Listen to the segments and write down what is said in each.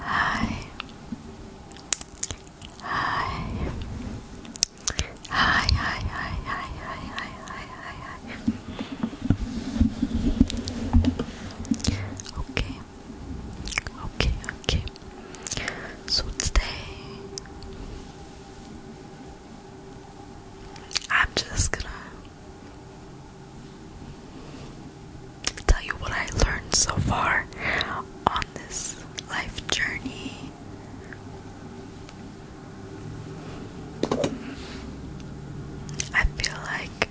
Hi. Hi. Hi, hi, hi, hi, hi, hi, Okay. Okay, okay. So today I'm just gonna tell you what I learned so far on this life journey. I feel like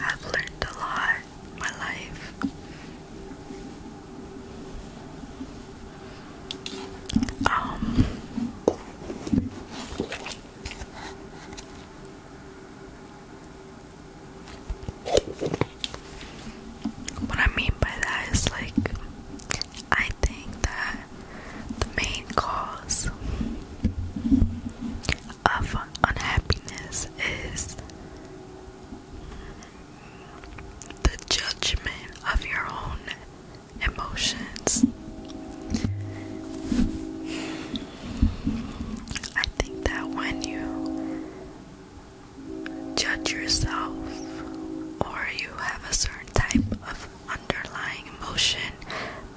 I've learned a lot my life. Um, what I mean by that is like, I think that the main cause of unhappiness is the judgment of your own emotions. I think that when you judge yourself or you have a certain type of underlying emotion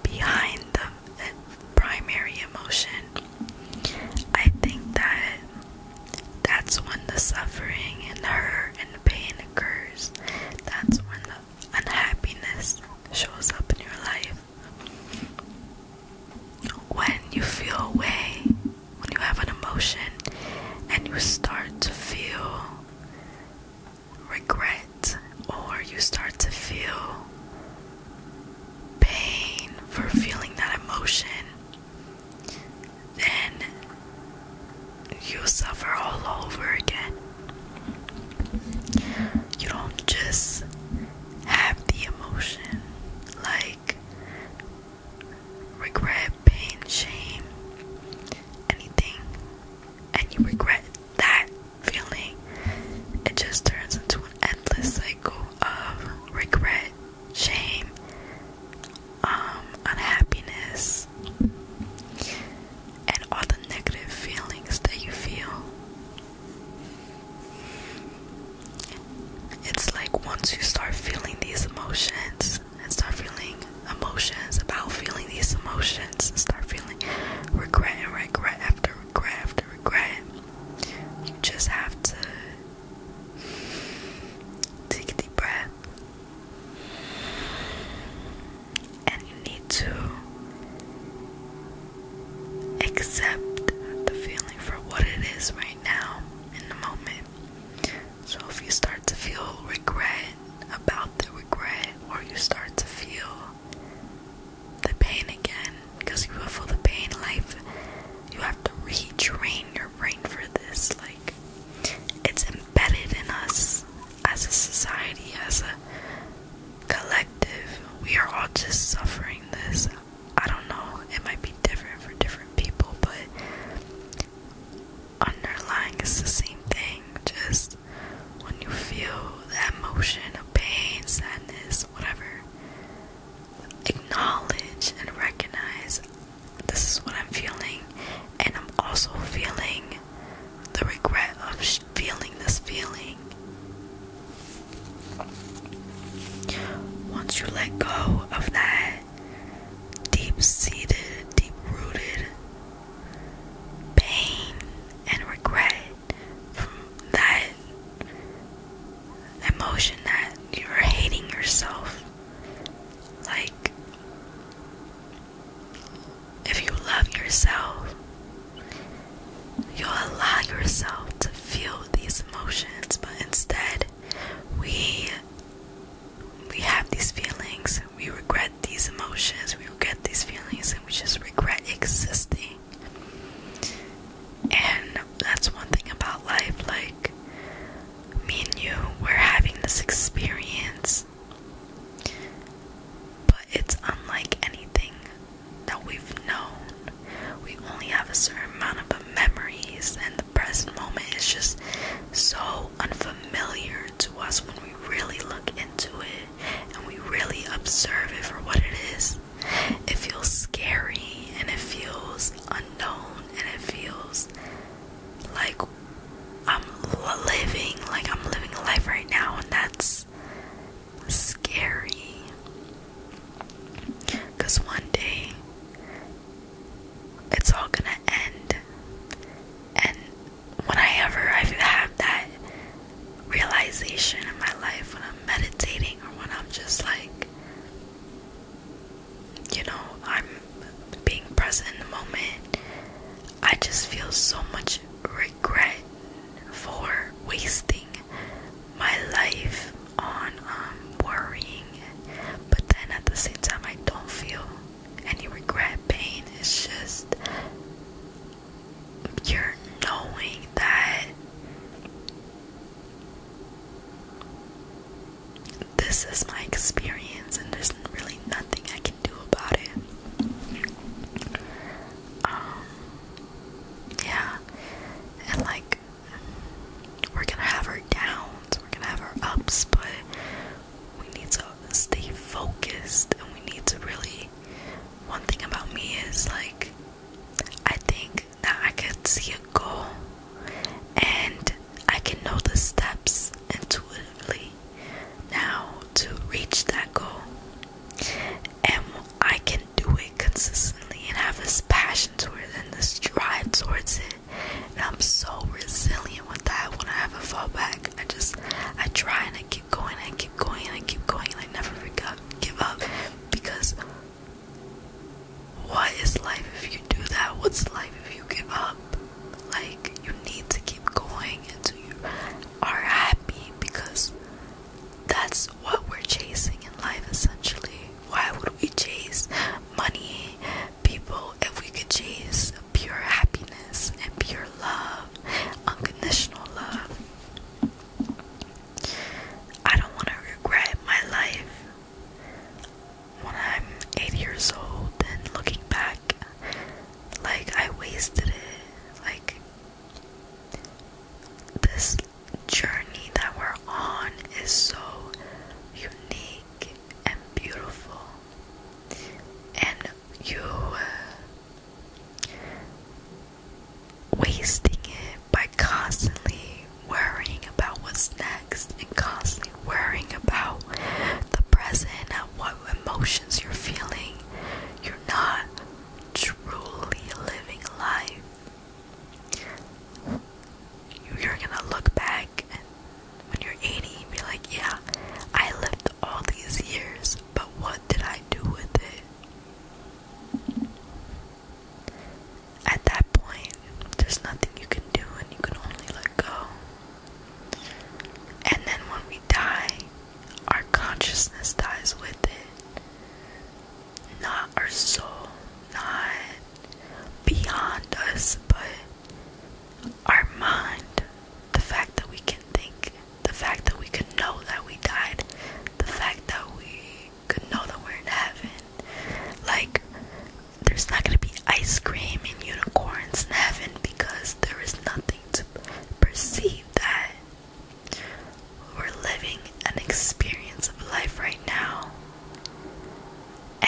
behind the, the primary emotion, I think that that's when the suffering and the hurt and the pain occurs, that's when the unhappiness shows up in your life. When you feel a way, when you have an emotion, and you start to feel regret, or you start to feel pain for feeling that emotion, then you suffer all over again. You don't just have the emotion like regret, pain, shame, anything, and you regret that feeling. It just turns into an endless cycle of regret, shame, um, unhappiness, and all the negative feelings that you feel. It's like once you start feeling these emotions and start feeling emotions about feeling these emotions and start feeling regret and regret after regret after regret, you just have to take a deep breath and you need to accept the feeling for what it is right now in the moment. So if you start to feel regret about the regret, or you start to feel the pain again, because you will feel the pain. in Life, you have to retrain your brain for this. Like it's embedded in us as a society, as a collective. We are all just suffering this. I don't know, it might be different for different people, but underlying is the same thing. Just when you feel that emotion of pain, sadness, whatever, acknowledge and recognize this is what I'm feeling, and I'm also feeling the regret of feeling this feeling. Once you let go of that deep seated, deep rooted pain and regret from that emotion that you're hating yourself like, if you love yourself, you'll allow yourself to feel these emotions, but instead, we we have these feelings, we regret these emotions, we regret these feelings, and we just regret existing. And that's one thing about life, like me and you, we're having this experience but it's unlike anything that we've known. We only have a certain amount of memories, and the present moment is just so unfamiliar to us when we really look into it and we really observe it for what it is. It feels scary and it feels unknown and it feels like I'm living, like I'm living a life right now, and that's scary. Because one day it's all gonna end, and when I ever I have that realization in my life, when I'm meditating or when I'm just like you know, I'm being present in the moment, I just feel so much regret for wasting my life on um, worrying. But then at the same time, I don't feel any regret, pain. It's just you're knowing that this is my experience, and there's really nothing I can do about it. Um, yeah, and like, we're gonna have our downs, we're gonna have our ups, but we need to stay focused, and we need to really. One thing about me is like, I think that I could see a goal and I can know the steps intuitively now to reach that goal. And I can do it consistently and have this passion towards it and this drive towards it. And I'm so resilient with that. When I have a back, I just I try and I keep going, I keep going, I keep going, I never give up because why is life if you do that? What's life if you give up? Like, you need to keep going until you are happy because that's what we're chasing in life essentially. Why would we chase money, people, if we could chase pure happiness and pure love, unconditional love? I don't want to regret my life when I'm 80 years old and looking back, like I wasted it. Like this journey that we're on is so unique and beautiful, and you uh, wasting it by constantly worrying about what's next and constantly worrying about the present and what emotions you're feeling, you're not truly living life. You're gonna look back and when you're 80 and be like, yeah, I lived all these years, but what did I do with it? At that point, there's nothing you can do and you can only let go. And then when we die, our consciousness dies with it. Not our soul, not beyond us, but our mind. The fact that we can think, the fact that we can know that we died, the fact that we could know that we're in heaven. Like, there's not gonna be ice cream and unicorns in heaven because there is nothing to perceive that we're living an experience of life right now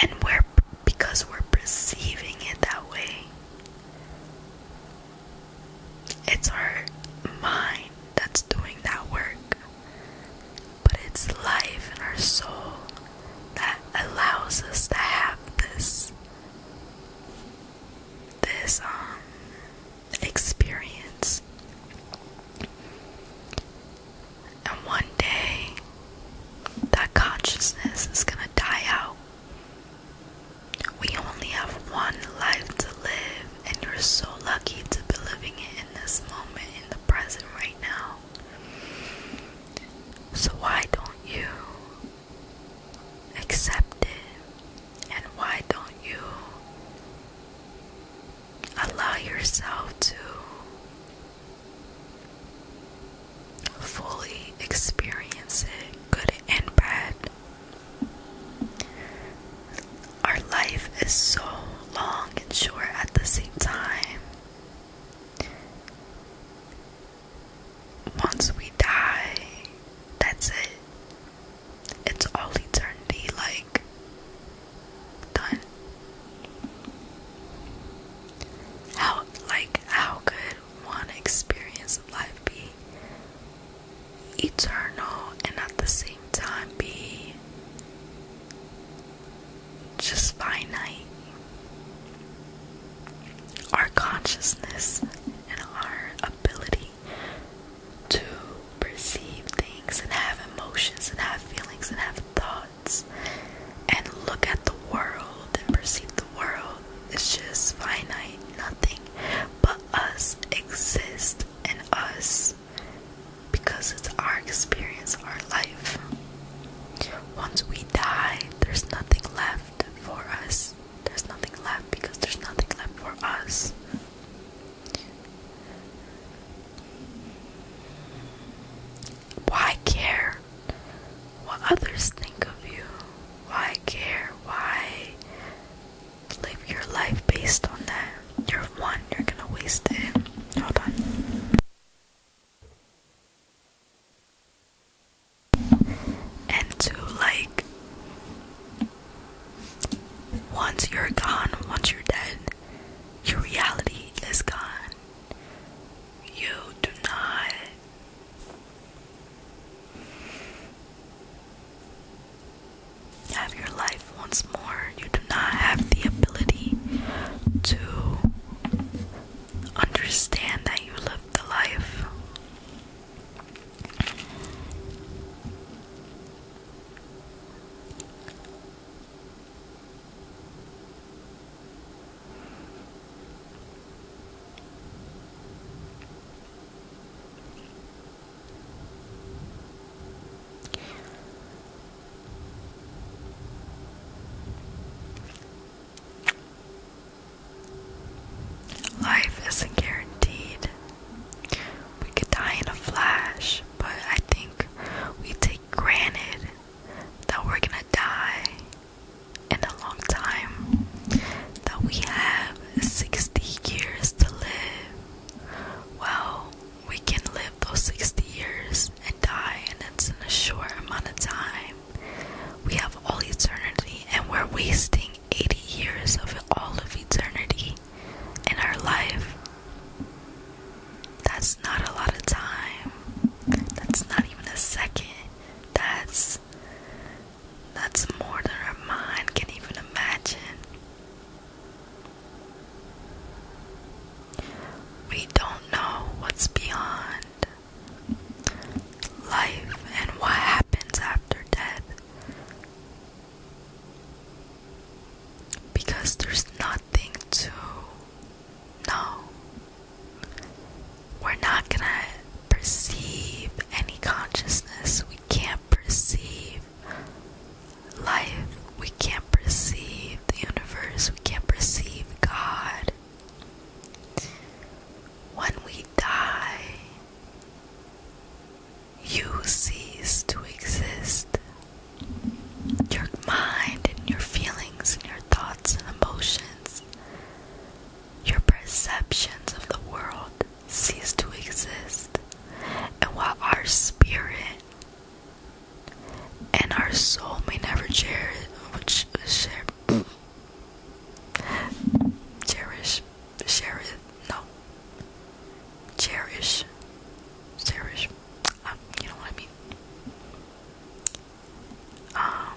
and we're because we're perceiving it that way it's our mind that's doing that work but it's life in our soul that allows us to have this this um experience and one day that consciousness is going to die out we only have one life to live and you're so lucky to be living it in this moment in the present right now so why don't you accept it? And why don't you allow yourself to fully experience it, good and bad? Our life is so long and short at the same time. Once we die, that's it. It's all eternity, like, done. How, like, how could one experience of life be eternal and at the same time be just finite. Our consciousness and our ability to perceive things and have emotions and have feelings and have thoughts and look at the world and perceive the world is just finite. Nothing but us exists in us because it's our experience, our life. Once we die, there's nothing left for us. There's nothing left because there's nothing left for us. Why care what others think of you? Why care? Why live your life based on that? You're one, you're gonna waste it. Hold on and to like once you're gone, once you're dead, your reality is gone. You do not have your life once more. You do not have the ability to understand that you live the life. Life isn't guaranteed. We could die in a flash, but I think we take granted that we're gonna die in a long time, that we have 60 years to live. Well, we can live those 60 years and die, and it's in a short amount of time. We have all eternity, and we're wasting 80 years of all of eternity in our life. That's not a lot of time. That's not even a second. That's that's more than our mind can even imagine. We don't know what's beyond life and what happens after death. Because there's nothing to know. We're not gonna perceive any consciousness. We can't perceive life we can't perceive the universe, we can't perceive God. When we die, you cease to exist. Your mind and your feelings and your thoughts and emotions, your perceptions of the world cease to exist. And while our spirit and our soul may never cherish, cherish, cherish, no, cherish, cherish. Um, you know what I mean. Um,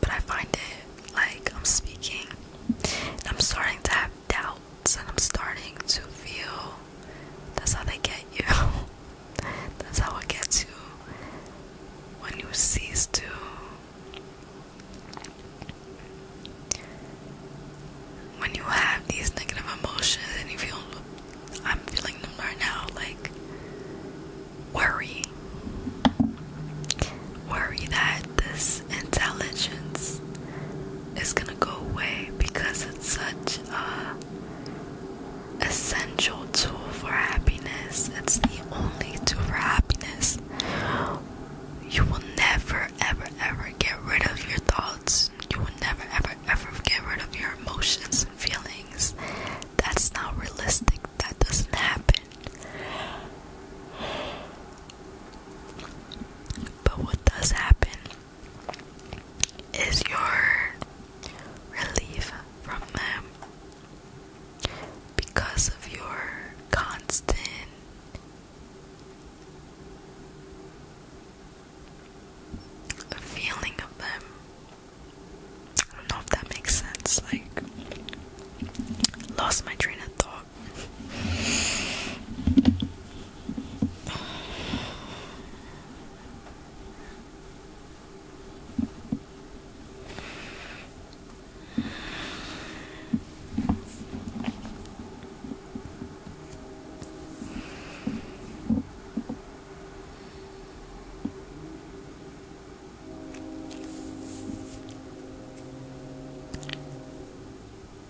but I find it like I'm speaking, I'm starting to have doubts, and I'm starting to feel that's how they get you. that's how it gets you when you cease to when you have these negative emotions and you feel I'm feeling them right now like worry worry that this intelligence it's gonna go away because it's such a essential tool for happiness. It's the only tool for happiness. You will never, ever, ever get rid of your thoughts. You will never, ever, ever get rid of your emotions and feelings. That's not realistic. That doesn't happen. But what does happen is your relief from them because of your constant feeling of them. I don't know if that makes sense. Like, lost my train of thought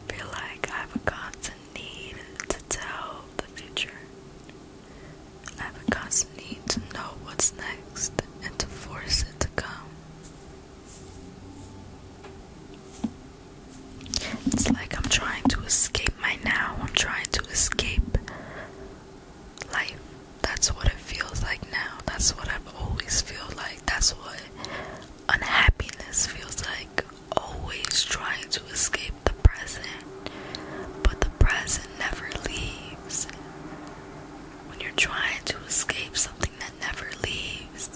feel like I have a need to tell the future. I have a constant need to know what's next and to force it to come. It's like I'm trying to escape my now. I'm trying to escape life. That's what it feels like now. That's what I've always felt like. That's what Unhappiness feels like always trying to escape the present, but the present never leaves. When you're trying to escape something that never leaves,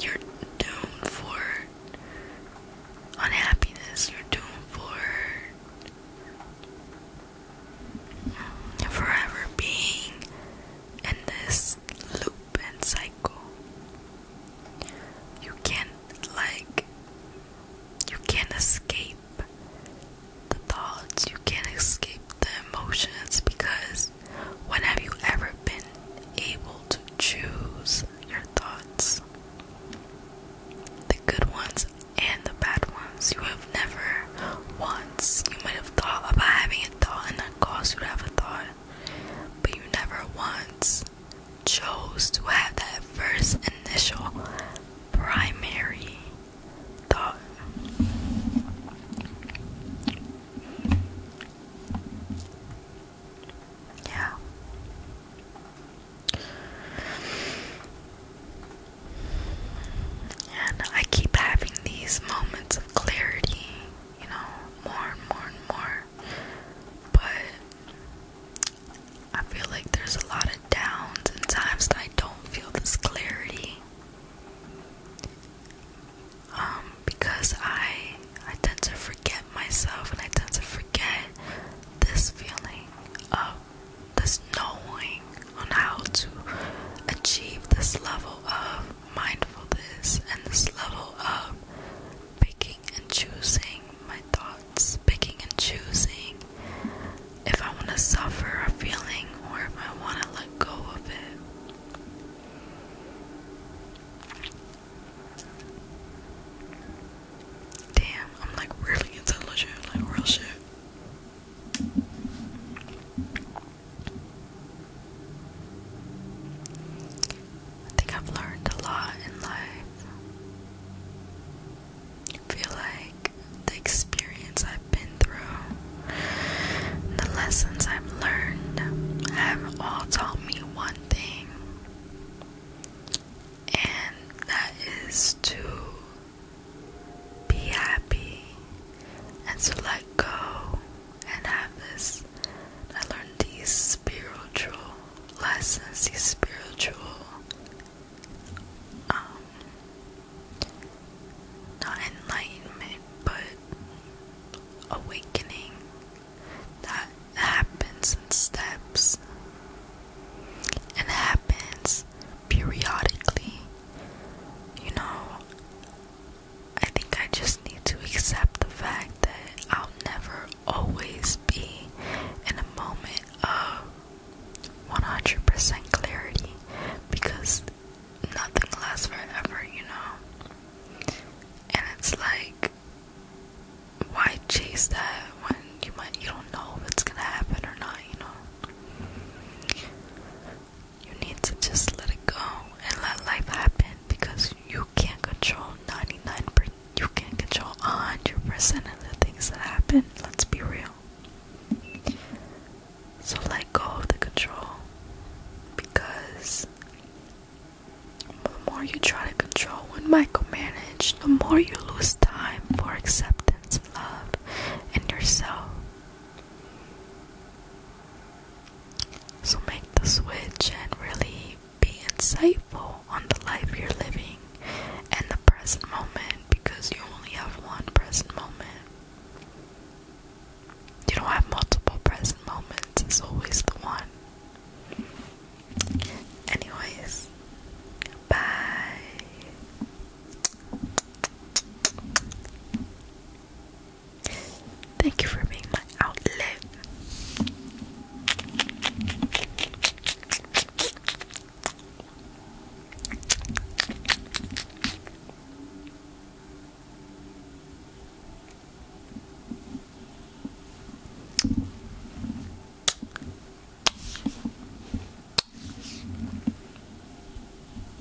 you're doomed for unhappiness, you're doomed for forever being in this loop and cycle. You can't, like, you can't escape the thoughts, you can't escape the emotions because when have you ever been able to choose your thoughts? The good ones and the bad ones. You have never won you might have thought about having a thought and that caused you to have a thought, but you never once chose to have that first initial primary thought. Yeah. And I keep having these moments of clarity you know, more and more and more. But I feel like there's a lot of downs and times that I don't feel this clarity. Um, because I I tend to forget myself and I tend to forget this feeling of this knowing on how to achieve this level of mindfulness and this level of picking and choosing my thoughts, picking and choosing if I want to suffer a feeling or if I want to let go of it. Damn, I'm like really intelligent, like real shit. I think I've learned a lot in life. I feel like the experience I've been through, the lessons I've learned, have all taught me one thing, and that is to be happy and to let go and have this I learn these spiritual lessons, these spiritual um, not enlightenment but awakening that happens in steps and happens periodically. You know, I think I just need to accept the fact that I'll never always be in a moment of 100% clarity because nothing lasts forever, you know? And it's like, why chase that when you might you don't know if it's gonna happen or not, you know? You need to just let it go and let life happen because you can't control 99 percent you can't control 100% of the things that happen. Let's be real. So let go of the control because the more you try to control and micromanage, the more you lose time for acceptance, love, and yourself. So make the switch and really be insightful on the life you're living and the present moment because you only have one present moment. You don't have multiple present moments, it's always the one. Anyways, bye. Thank you for being my outlet.